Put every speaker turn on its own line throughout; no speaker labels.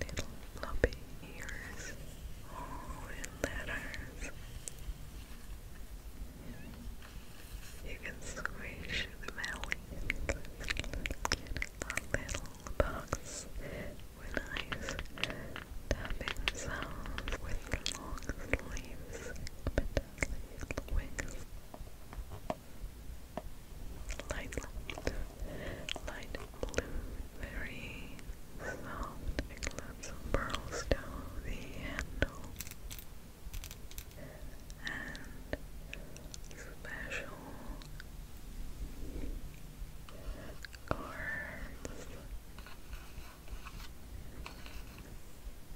Little floppy ears, all in letters. You can squish the melon a little box with nice tapping sounds with long sleeves, metallic wings light, light blue, very soft, and lots of the handle, and special cards.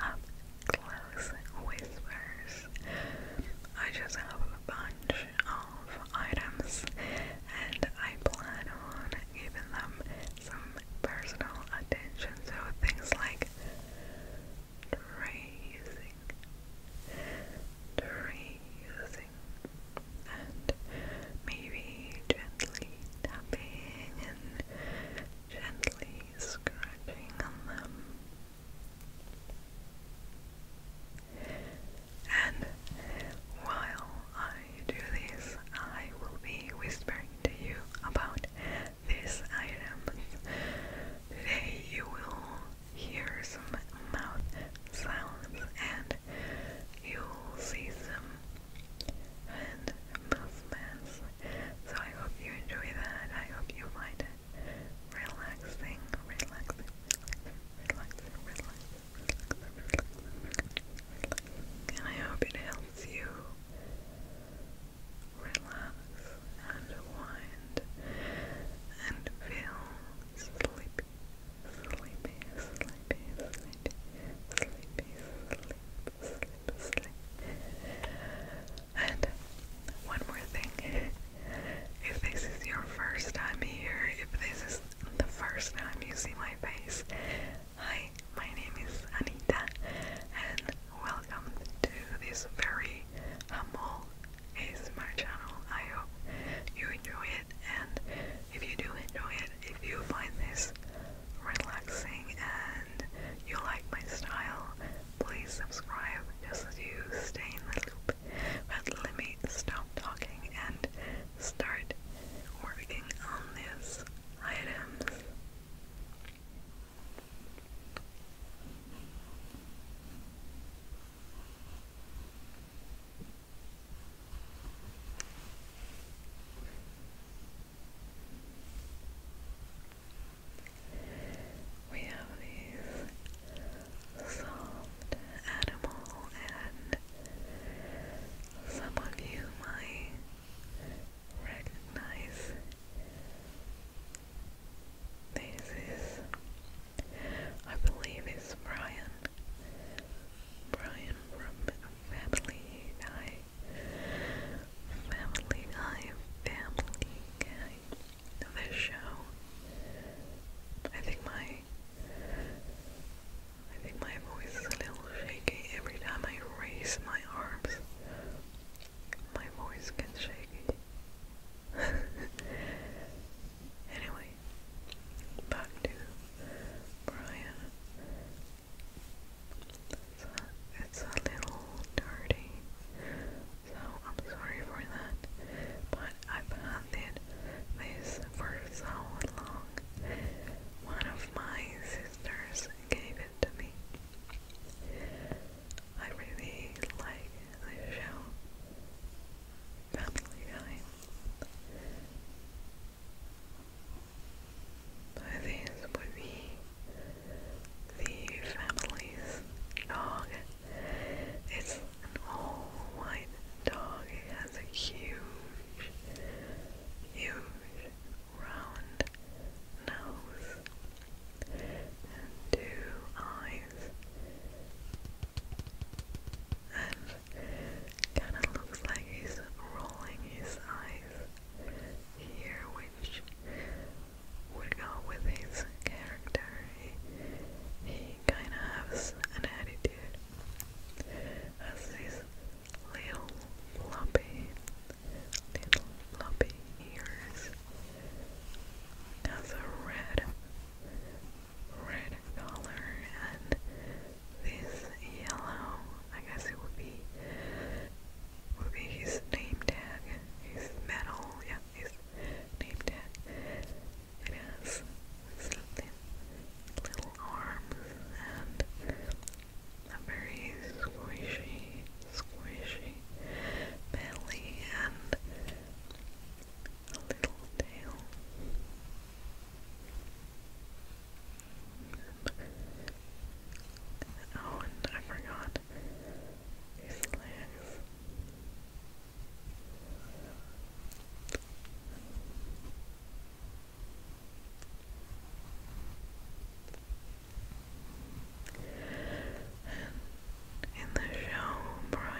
up close whispers. I just have a bunch of items and I plan on giving them some personal attention. So things like tracing, tracing, and maybe gently tapping and gently scratching on them. And while I do this, I will be whispering to you about these items. you will hear some mouth sounds and you'll see some hand movements so I hope you enjoy that. I hope you find it relaxing, relaxing, relaxing, relaxing, And I hope it helps you relax and wind and feel sleepy, sleepy, sleepy, sleepy, sleepy, sleep, sleep, sleep. And one more thing if this is your first time here, if this is the first time you see my face, hi, my name is Anita, and welcome to this very humble ASMR channel. I hope you enjoy it, and if you do enjoy it, if you find this relaxing and you like my style, please subscribe just to stay in the loop. But let me stop talking and start working on these items. We have these soft animal, and some of you might recognize this I believe, it's Brian. Brian from Family Guy. Family Guy, Family Guy this show. I think my I think my voice is a little shaky every time I raise my arms. My voice gets shaky. anyway, back to Brian. It's a, it's a little dirty. So I'm sorry for that, but I've had this for so long. One of my sisters gave it to me. I really like the show Family Guy. So this would be the family's dog. It's an all-white dog. It has a huge, huge round nose and two eyes. And kind of looks like he's rolling his eyes here, which would go with his character. He, he kinda has an attitude. Has these little floppy, little floppy ears. Has a red, red collar and this yellow, I guess it would be, would be his name tag, his medal, yeah, his named it. It has something, little arms, and a very squishy, squishy belly, and a little tail. oh, and I forgot. Relax. And in the show, Brian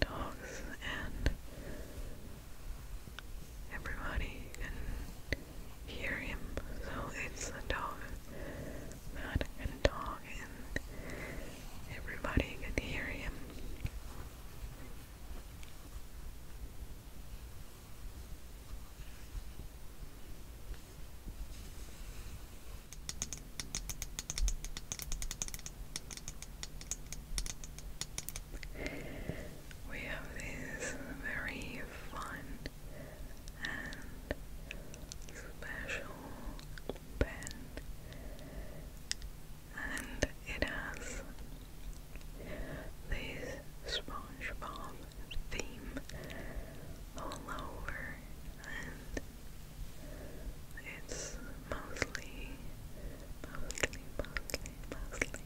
talks and everybody can hear him, so it's a dog mad at and everybody could hear him. We have these very fun and special pen and it has this SpongeBob theme all over and it's mostly, mostly, mostly, mostly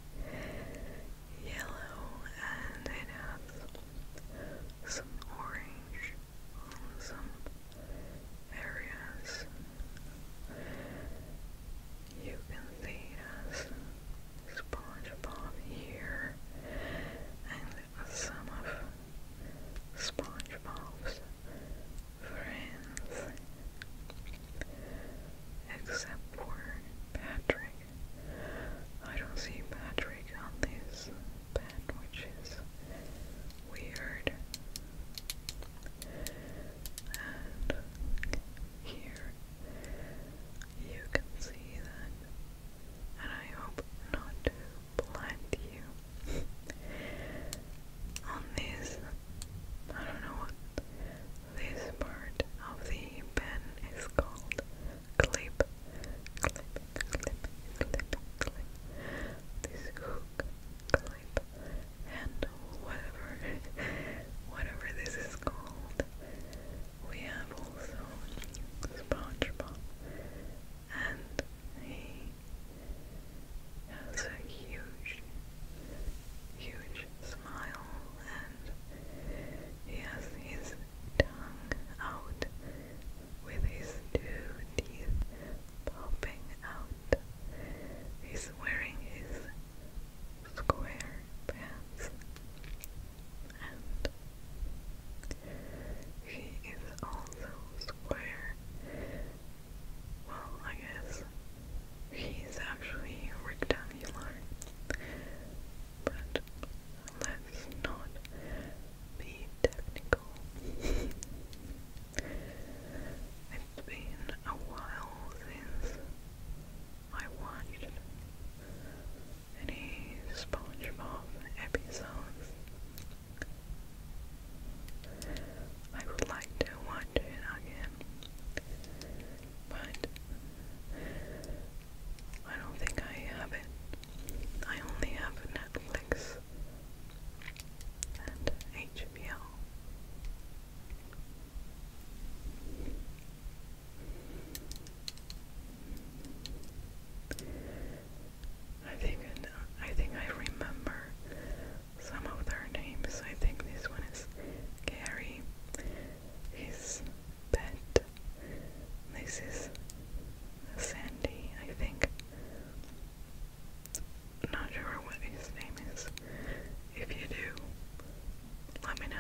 yellow and it has some orange some areas you can see as SpongeBob here and some of SpongeBob's friends except for Patrick. I don't see Patrick on this that, which is weird. And here you can see that, and I hope not to blind you. On this, I don't know what this part of the pen is called clip, clip, clip, clip, clip, this hook, clip, and whatever, whatever this is called. We have also SpongeBob, and he has a huge, huge smile, and he has his tongue out with his two teeth popping out. He's wearing his square pants and he is also square. Well, I guess he's actually rectangular, but let's not be technical. it's been a while since I watched any SpongeBob episodes. I would like to watch it again, but I don't think I have it I only have Netflix and HBO. I think I think I remember some of their names. I think this one is Gary. His pet this is Sandy, I think. Not sure what his name is. If you do, let me know.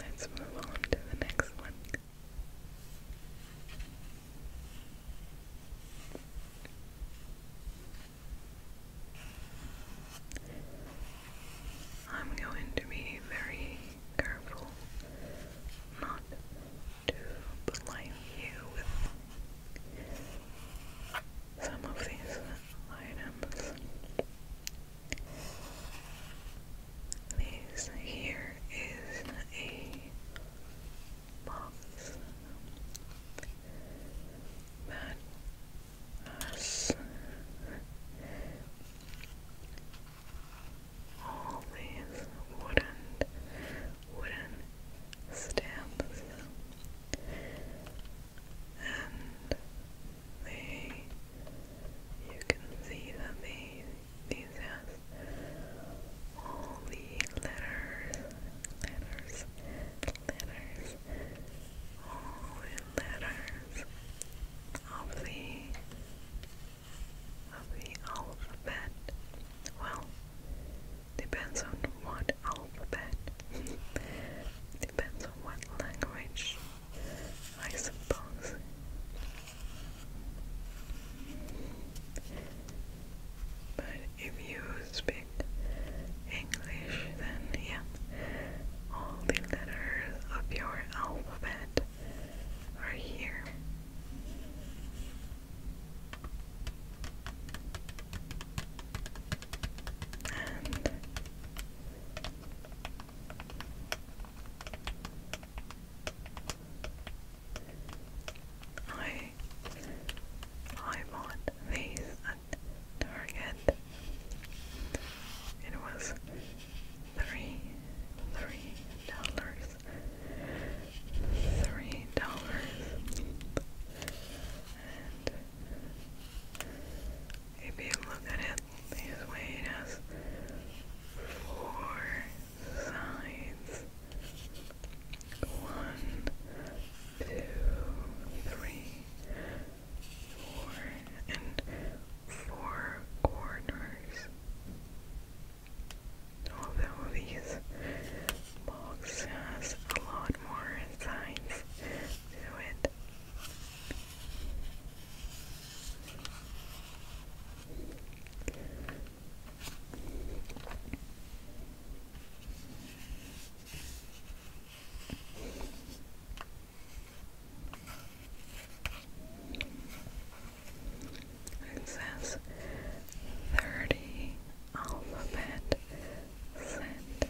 Let's move on to the next one. I'm going to be very careful not to blind you with some of these items. This here is a box that has all these wooden wooden stamps and they you can see that they these has all the letters, letters, letters, all the letters of the of the alphabet. Well, depends on what alphabet. Depends on what language I suppose. But if you speak English, then yeah, all the letters of your alphabet are here. I I bought these at Target. It was three three dollars. Three dollars if you look at it this way, it has four sides. One, two, three, four, and four corners. Although these box has a lot more sides to it. It says thirty alphabet set.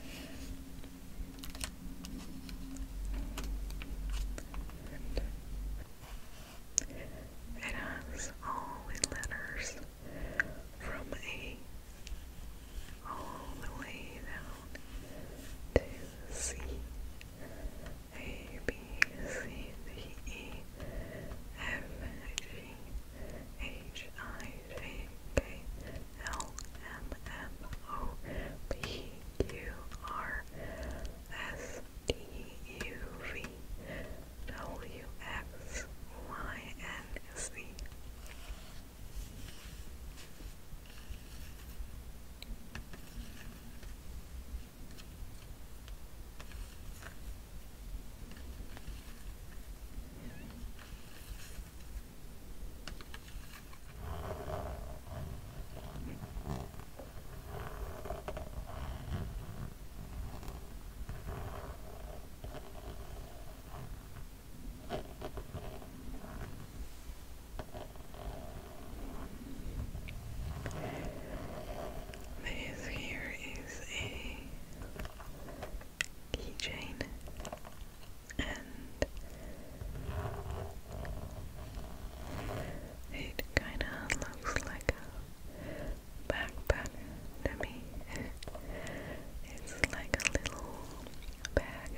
It has all the letters from A all the way down to C. A, B, C, D, E, F, G, H, I, J, K, L, M, N, O, P, Q, R, S T U V W X Y N C. This here is a keychain and it kinda looks like a backpack to me. it's like a little bag.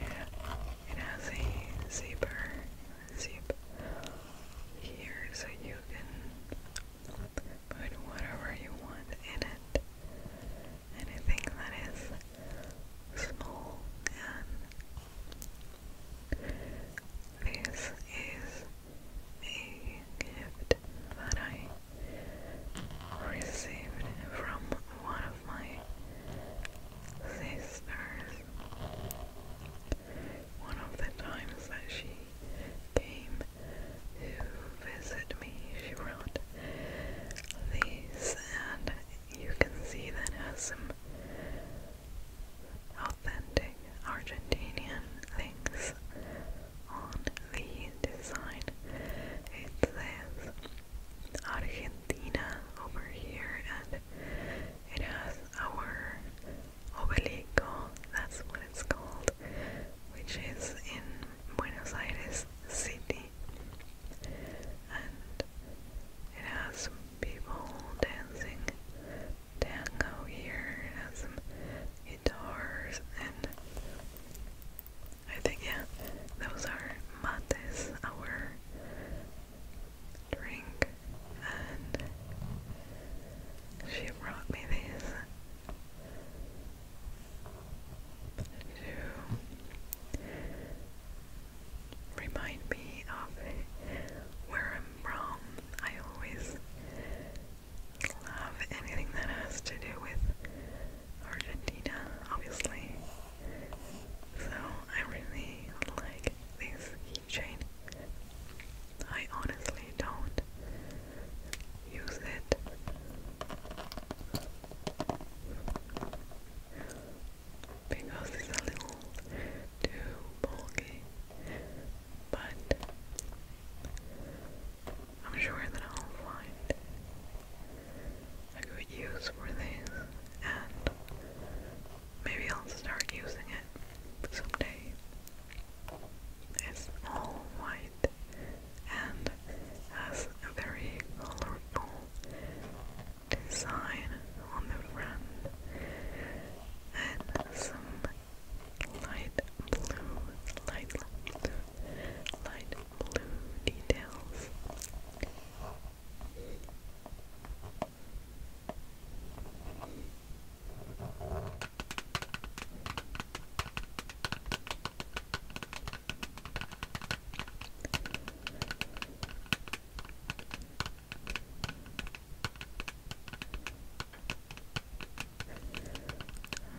Yeah, it has a zipper zip here so you can put whatever you want in it. And that is small gun. This is a gift that I received from one of my sisters. One of the times that she came to visit me, she brought these, and you can see that has some authentic Argentinian things on the design. It says Argentina over here and it has our Obelico, that's what it's called, which is in Buenos Aires City and it has people dancing tango here, has guitars and I think yeah, those are mates, our drink and she brought me these to remind me of where I'm from. I always love anything that has to do with Argentina, obviously. So I really like this keychain. I honestly don't use it because it's a little too bulky. But I'm sure that I'll find a good use for this, and maybe I'll start using it someday. It's all white and has a very colorful design on the front and some light blue, light, light blue details.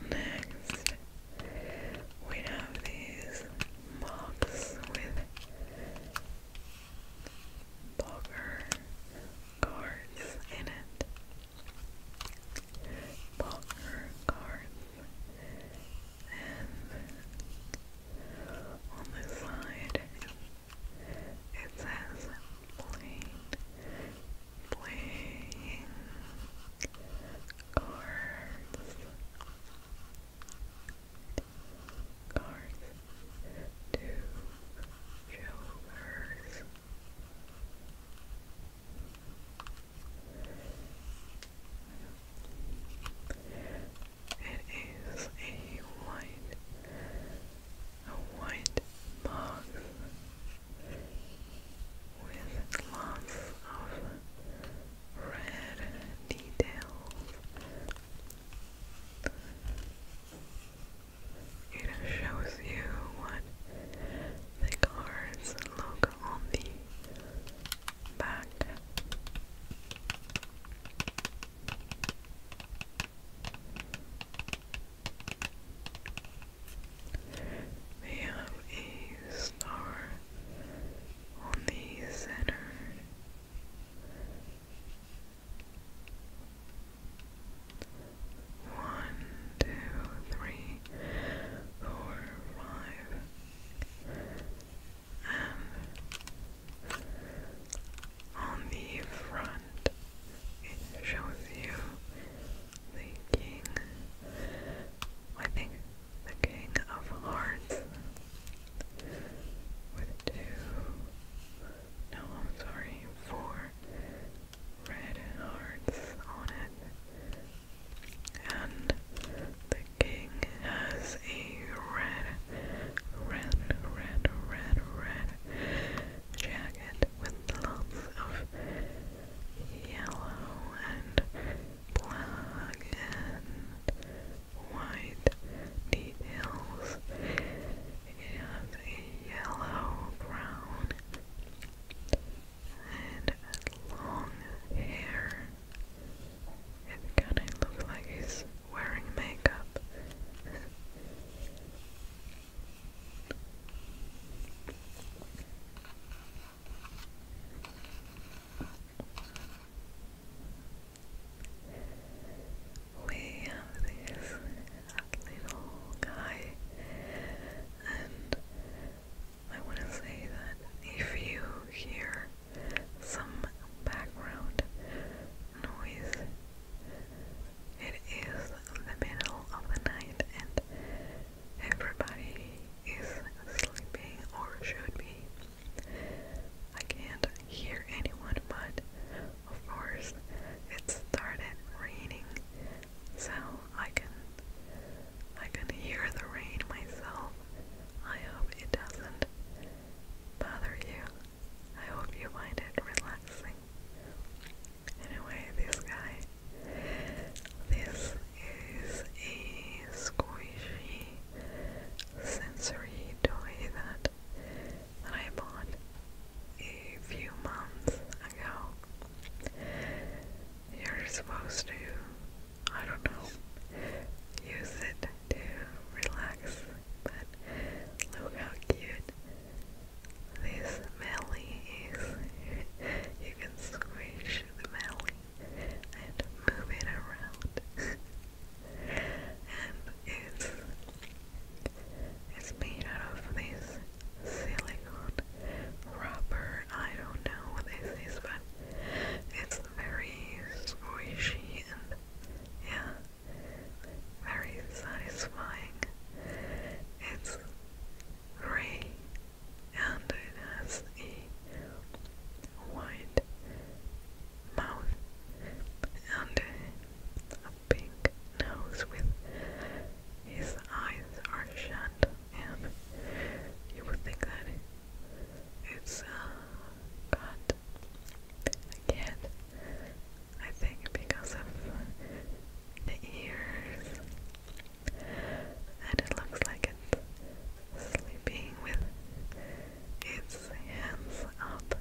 Next, we have these mugs with poker cards in it. Poker cards and on the side it says playing, playing cards, cards to jokers. It is a white, a white box with lots of red details. It shows you what the cards look on the back. They have a star on the center. One, two, three, four, five, on the front, it shows you the king. the king of hearts with two. No, sorry, four red hearts on it, and the the king has a red, red, red, red, red jacket with lots of yellow and black and white details. It has a yellow, brown, and long hair. It kinda looks like he's wearing makeup. We have this little guy, and I want to say that if you hear some background noise. It is the middle of the night and everybody is sleeping or should be. I can't hear anyone, but of course it started raining, so I can I can hear the rain myself. I hope it doesn't bother you. I hope you find it relaxing. Anyway, this guy, this is a squishy sensory toy that I bought a few months ago. You're supposed to, I don't know, use it to relax, but look how cute this melly is. you can squish the melly and move it around. and it's it's made out of this silicone rubber. I don't know what this is, but it's very squishy and yeah, very satisfying. It's grey and it has a white mouth and a pink nose with his eyes are shut and you would think that it's a cat it again. I think because of the ears, and it looks like it's sleeping with its hands up.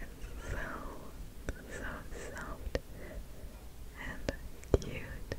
It's so, so soft and cute.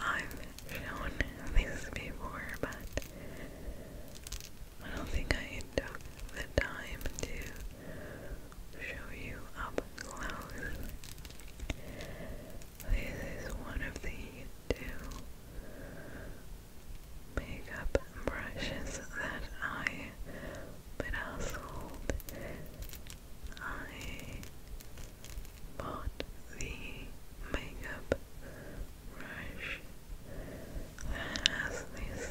I've shown these before, but I don't think I took the time to show you up close. This is one of the two makeup brushes that I but household I bought the makeup brush has this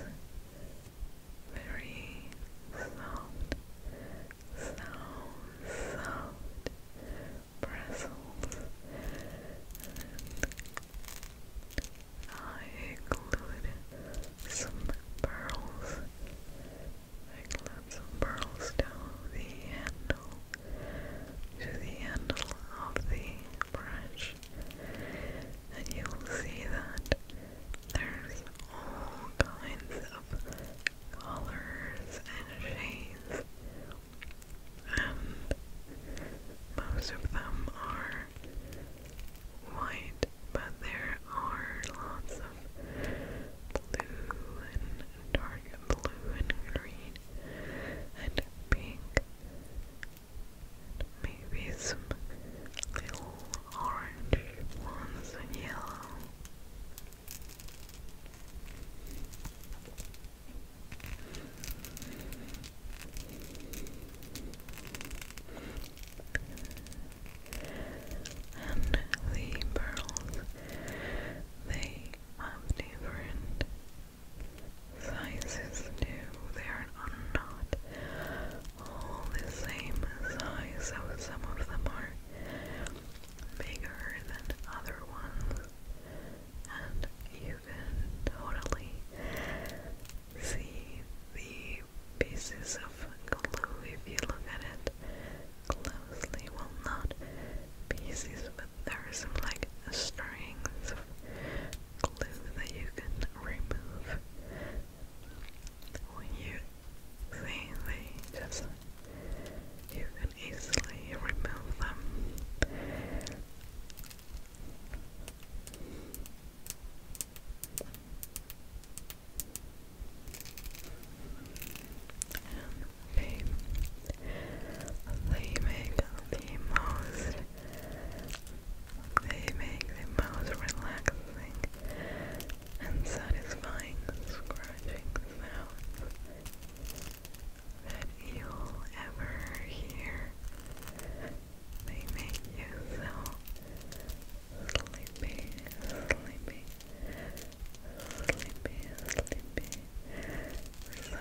very soft, sound, soft bristles I included some pearls Let's pearls down the handle to the handle of the brush, and you'll see that there's all kinds of colors and shades, and most of them are white, but there are lots of blue and dark blue and green and pink maybe some little orange ones and yellow. And the pearls they have different sizes too. They are not all the same size, so some of them are bigger than other ones. And you can totally see the pieces of glue if you look at it closely. Well, not pieces, but there are some like strings of glue that you can remove when you see they just you can easily remove them. They, they make the most they make the most relaxing and satisfying scratching sounds that you'll ever hear. They make you so sleepy, sleepy, Sleepy, sleepy. relaxing. Relax,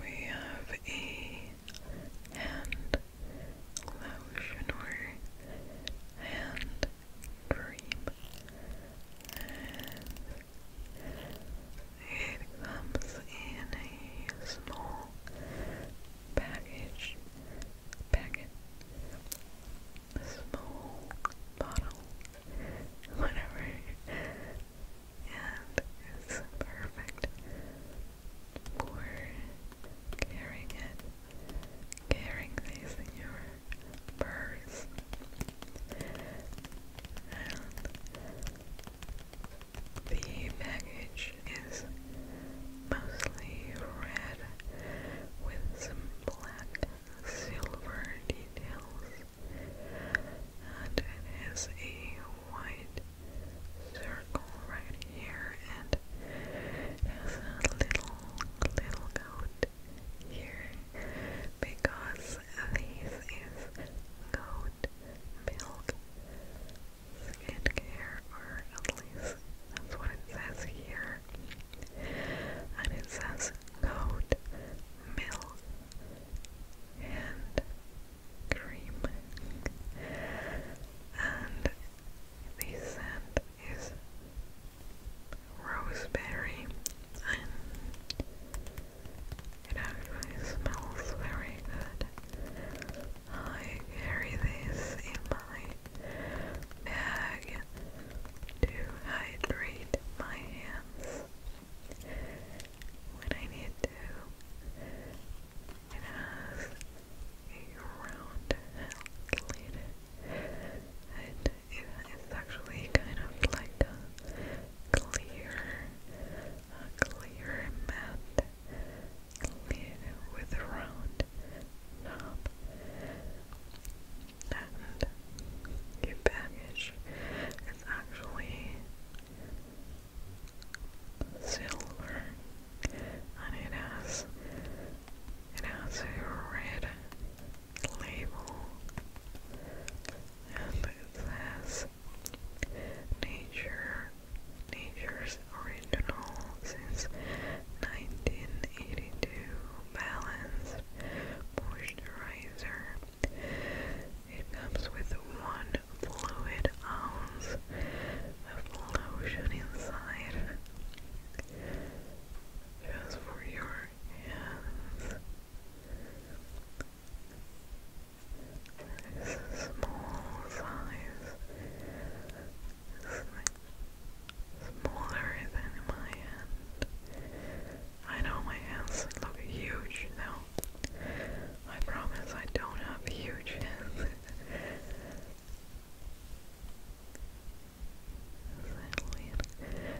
We have a hand lotion or hand cream. It comes in a small package, packet, small bottle, whatever, and it's perfect for carrying it, carrying these in your purse. The package is mostly red with some black silver details, and it has a white circle right here, and has a little, little coat here because this is goat milk skincare, or at least that's what it says here. And it says goat milk and cream. And the scent is roseberry and it actually smells very good. I carry these in my bag to hydrate my hands when I need to. It has a round lid and it's actually kind of like a clear, a clear mat with a round knob, and your package is actually silver, and it has it has a red label and nature nature's original since 1982 balanced moisturizer it comes with one fluid ounce of lotion inside just for your hands it's a small size. It's smaller than my hand. I know my hands look huge though. I promise I don't have huge hands. Is that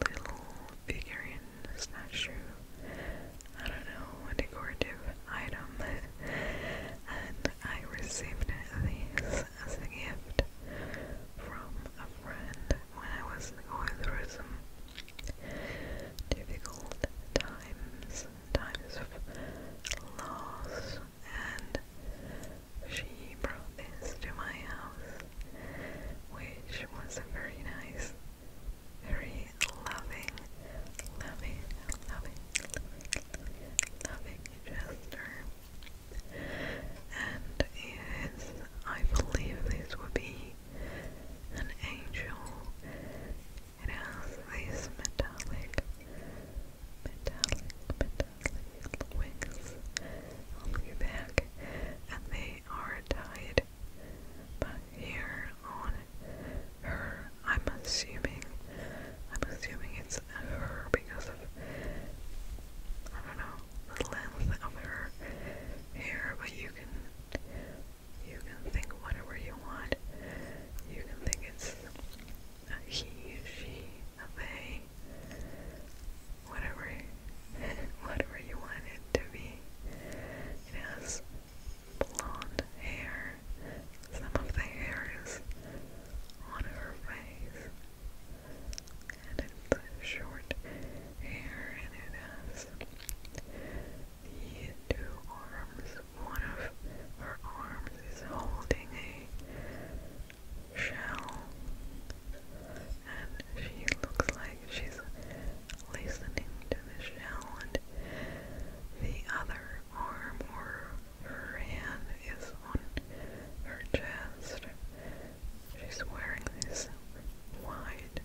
little figurine statue. I don't know, a decorative item. and I received these as a gift from a friend when I was going through some difficult times, times of loss, and she brought this to my house which was very nice, very loving, loving, loving, loving, loving And it is, I believe this would be an angel. It has these metallic, metallic, metallic wings on your back, and they are tied. But here on her, I'm assuming, I'm assuming it's her because of, I don't know, the length of her hair, but you can, you can think whatever you want. You can think it's a he, she, a they whatever whatever you want it to be. It has blonde hair. Some of the hair is on her face. And it's short hair and it has the two arms. One of her arms is holding a shell and she looks like she's listening to Michelle, and the other arm or her hand is on her chest. She's wearing this wide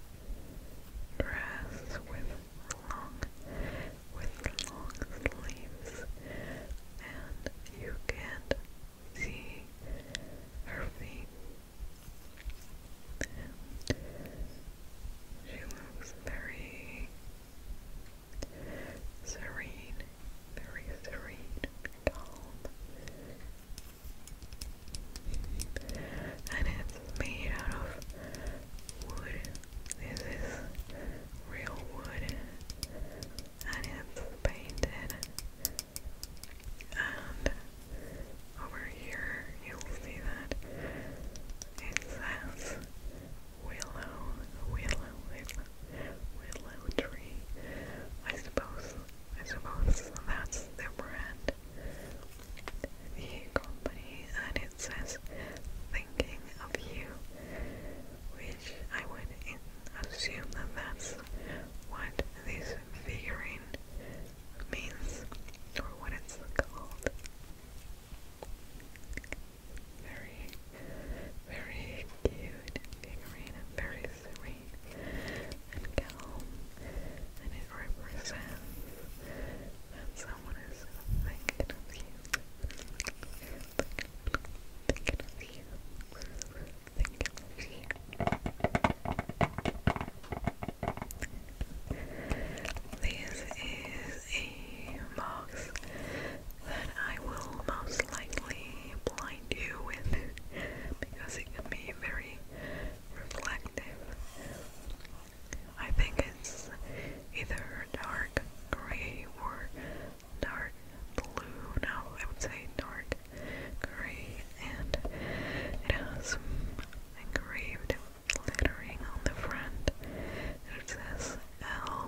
dress with long with long sleeves and you can see her feet she looks very serene, very serene, calm. And it's made out of wood. This is real wood. And it's painted and over here you'll see that it says willow, willow, willow, willow tree. I suppose, I suppose that's the brand, the company, and it says thinking of you, which I would assume that that's what this figurine means or what it's called. Very, very cute figurine very serene and calm, and it represents that someone is Thinking of you. Thinking of you think. This is a box that I will most likely blind you with because it can be very reflective. I think it's either dark gray or dark blue. No, I would say dark gray, and it has engraved lettering on the front. It says L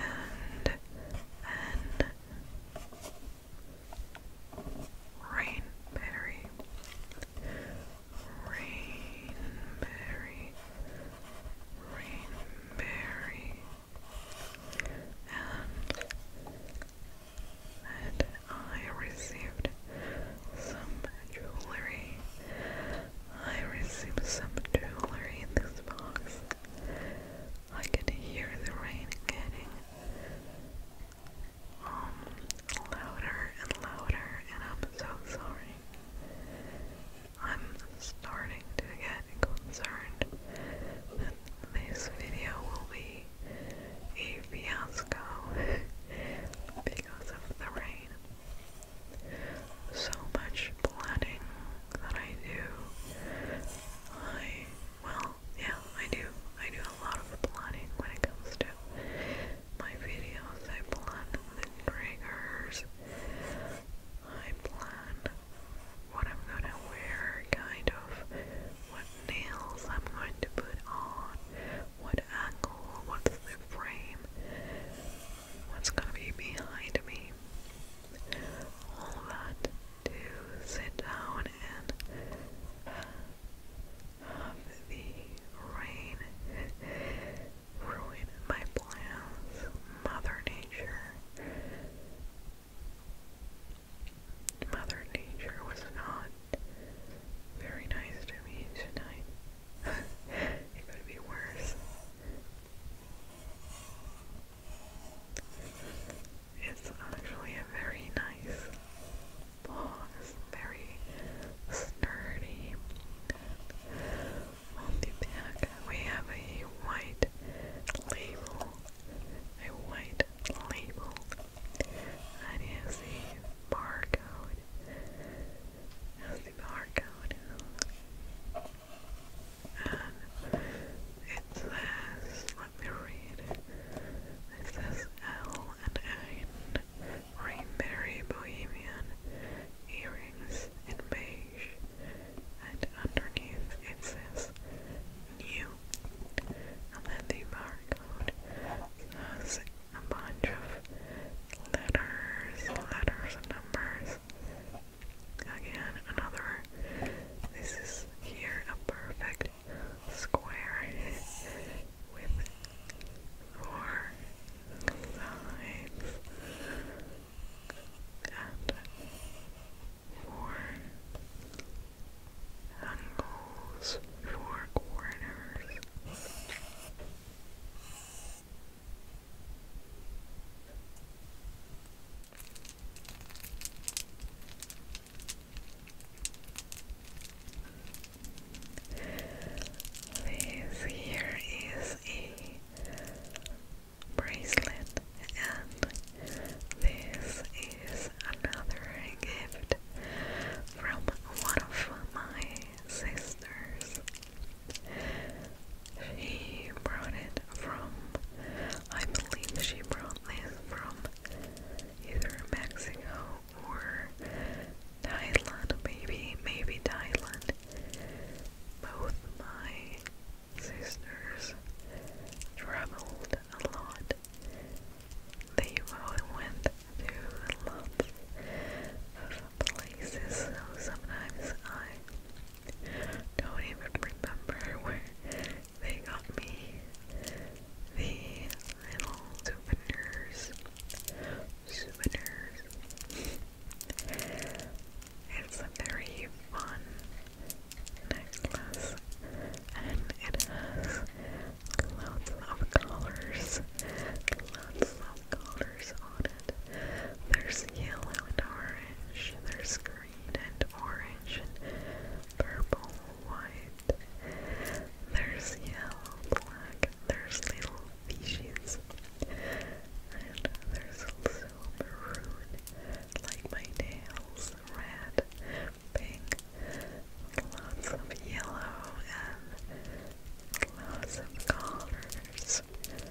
and N Rain Rainberry, rainberry, and that I received some jewelry. I received some jewelry in this box. I can hear the rain getting um, louder and louder, and I'm so sorry. I'm starting to get concerned that this video will be a fiasco because of the rain. So much planning that I do. I, well, yeah, I do. I do a lot of planning when it comes to my videos. I plan the triggers. I plan what I'm gonna wear, kind of, what nails I'm going to put on, what angle, what's the frame, what's going to be behind me. All that to sit down and have the rain ruin my plans, Mother Nature. Mother Nature was not very nice to me tonight. it could be worse. It's actually a very nice ball. very sturdy. On the back, we have a white label. A white label I did see barcode. I see barcode. And it says, let me read. It says L and N, Rainberry Bohemian earrings in beige, and underneath it says you. And then the barcode has a bunch of letters, letters and numbers. Again, another. This is here a perfect square with four sides and four angles, four corners. This here is a bracelet, and this is another gift from one of my sisters. She brought it from, I believe she brought this from either Mexico or Thailand, maybe, maybe Thailand. Both my sisters traveled a lot they both went to lots of places, so sometimes I don't even remember where they got me the little souvenirs. Souvenirs. It's very fun necklace and it has lots of colors, lots of colors on it. There's yellow and orange, there's green and orange and purple, white, there's yellow, black, there's little fishes. And there's also maroon, like my nails, red, pink, lots of yellow, and lots of colors. And it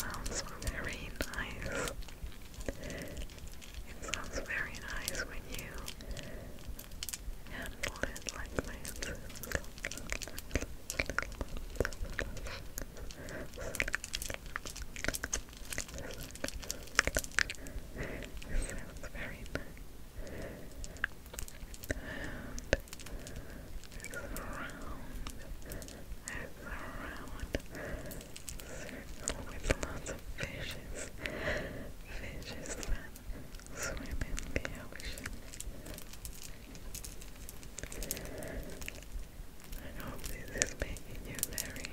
sounds very nice. It sounds very nice when you handle it sounds very nice. it's round, it's a round circle with lots of fishes, fishes that swim in the ocean. I hope this is making you very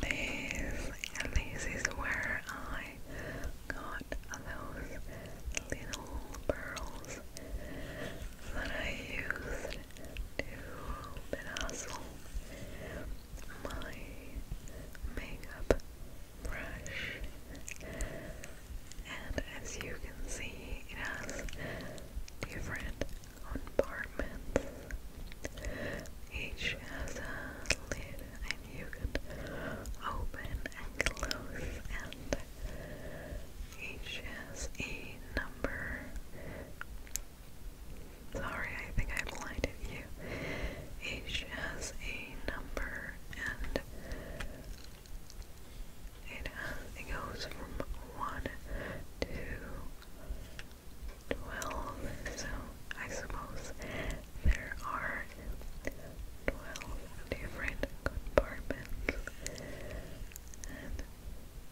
This, this is where I got those little pearls that I used to bedazzle my makeup brush. And as you can see, it has different on apartments. Each has a lid and you can open and close and each has a number. Sorry, I think I blinded you. Each has a number and it, goes from 1 to twelve, so I suppose there are twelve different compartments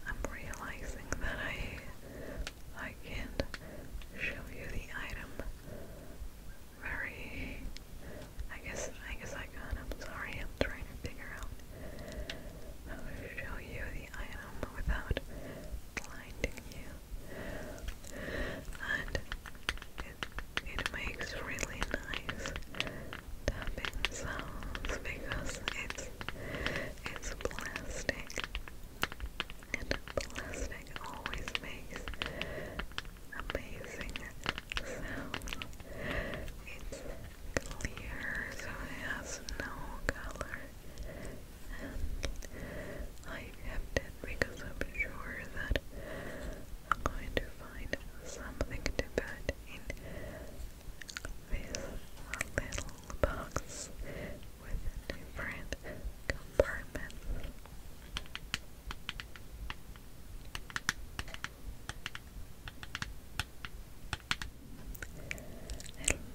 I'm realizing that I I can't show you the item very I guess I guess I can i sorry I'm trying to figure out how to show you the item without blinding you. And it makes really nice tapping sounds because it's it's plastic. And plastic always makes amazing sounds. It's clear, so it has no color and I kept it because I'm sure that I'm going to find something to put in this little box with different compartments. Okay. And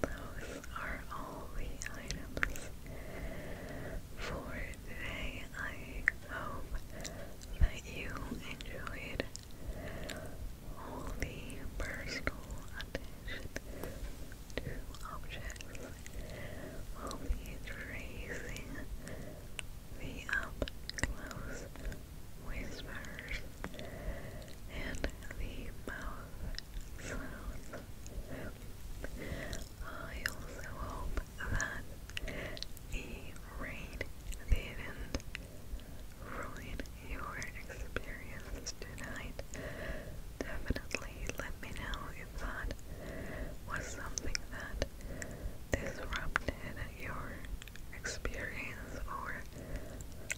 those are all the items for today. I hope that you enjoyed all the personal attention to objects. We'll be the up close whispers and the mouth sounds. I also hope that the rain didn't ruin your experience tonight. Definitely let me know if that was something that disrupted your experience or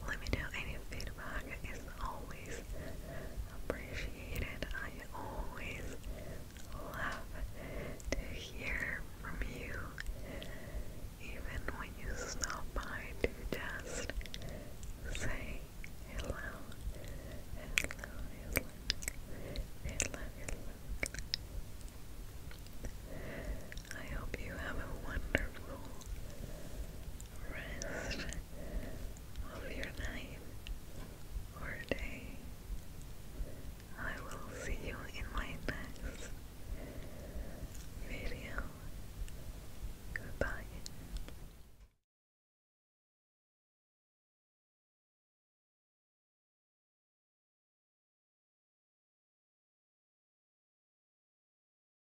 let me know any feedback vlog is always appreciated. I always love to hear from you, even when you stop by to just say hello, hello, hello, hello, hello. I hope you have a wonderful, rest of your night or day. I will see you in my next video. Goodbye.